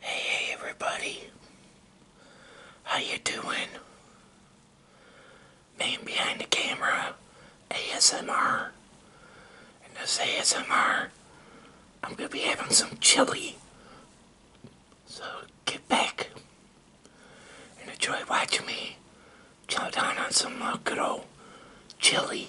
Hey, hey everybody. How you doing? Man behind the camera, ASMR. And this ASMR, I'm gonna be having some chili. So get back and enjoy watching me chow down on some uh, good old chili.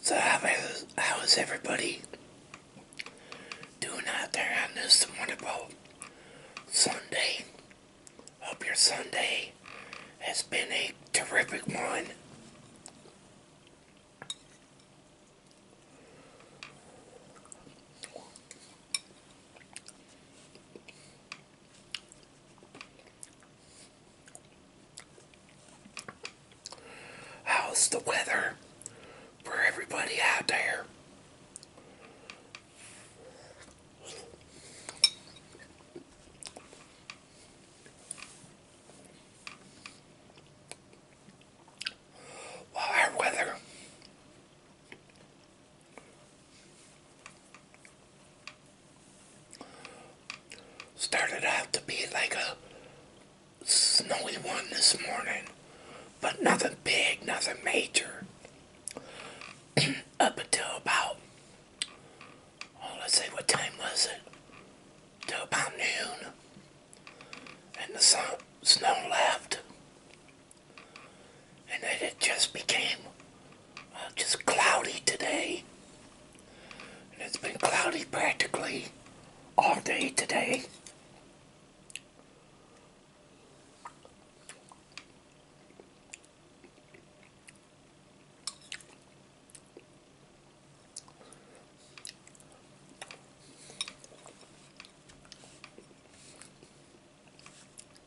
So how is, how is everybody doing out there on this wonderful Sunday? Hope your Sunday has been a terrific one. How's the weather for everybody out there? Well, our weather Started out to be like a snowy one this morning, but nothing big, nothing major. Up until about, oh, let's see, what time was it? Till about noon, and the sun, snow left, and then it just became just cloudy today. And it's been cloudy practically all day today.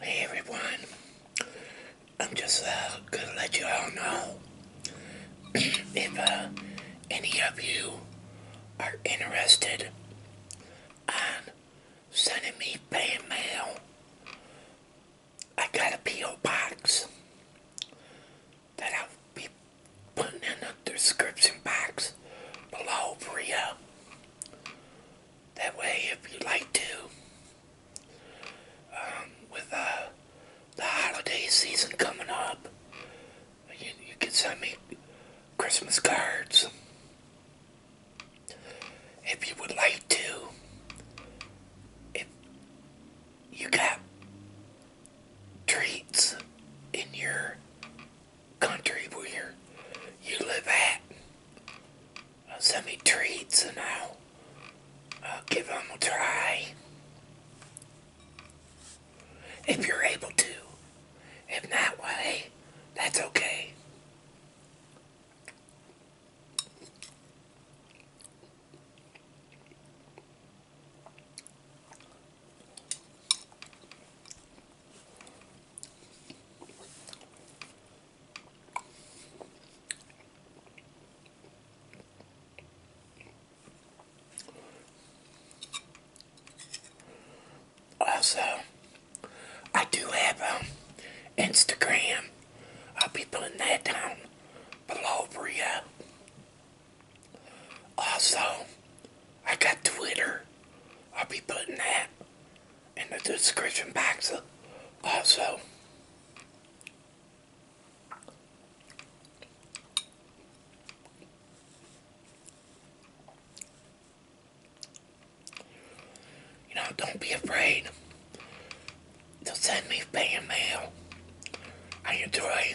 Hey everyone, I'm just uh, gonna let you all know if uh, any of you are interested on sending me fan mail. I got a P.O. box that I'll be putting in the description box below for you. That way, if you like to, um, with uh, the holiday season coming up, you, you can send me Christmas cards. If you would like to, if you got treats in your country where you live at. Uh, send me treats and I'll give them a try. If you're able to. If not, well, that's okay. Also, I do have Instagram. I'll be putting that down below for you. Also, I got Twitter. I'll be putting that in the description box also. You know, don't be afraid to send me fan mail. I enjoy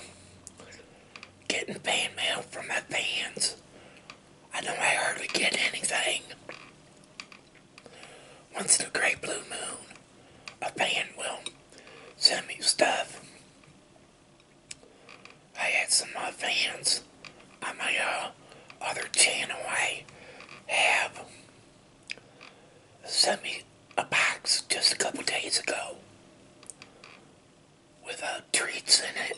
getting fan mail from my fans I know I hardly get anything. Once in a great blue moon, a fan will send me stuff. I had some of my fans on my uh, other channel I have sent me a box just a couple days ago with uh, treats in it.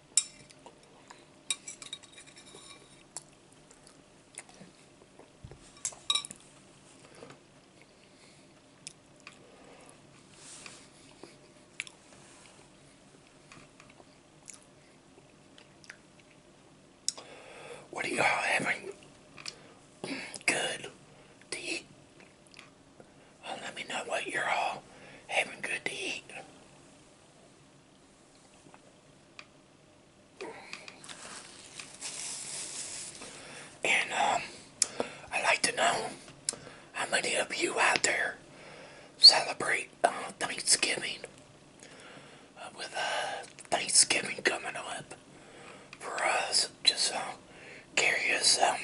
What are y'all having good to eat? Uh, let me know what you're all having good to eat. And um, i like to know how many of you out there celebrate uh, Thanksgiving uh, with uh, Thanksgiving coming up for us. Just uh, curious um,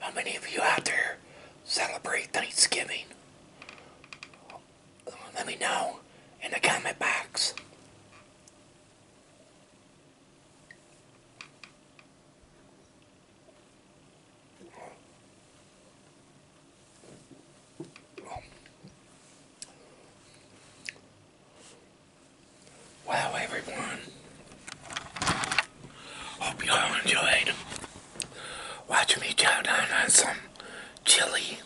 how many of you out there celebrate Thanksgiving let me know in the comment box. Well, everyone, hope you all enjoyed. Watch me chow down on some chili.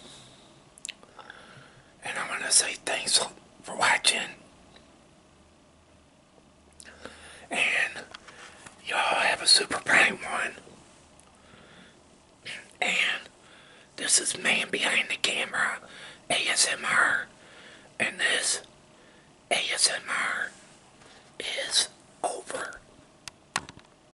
And I want to say thanks for watching. And y'all have a super bright one. And this is Man Behind the Camera ASMR. And this ASMR is over.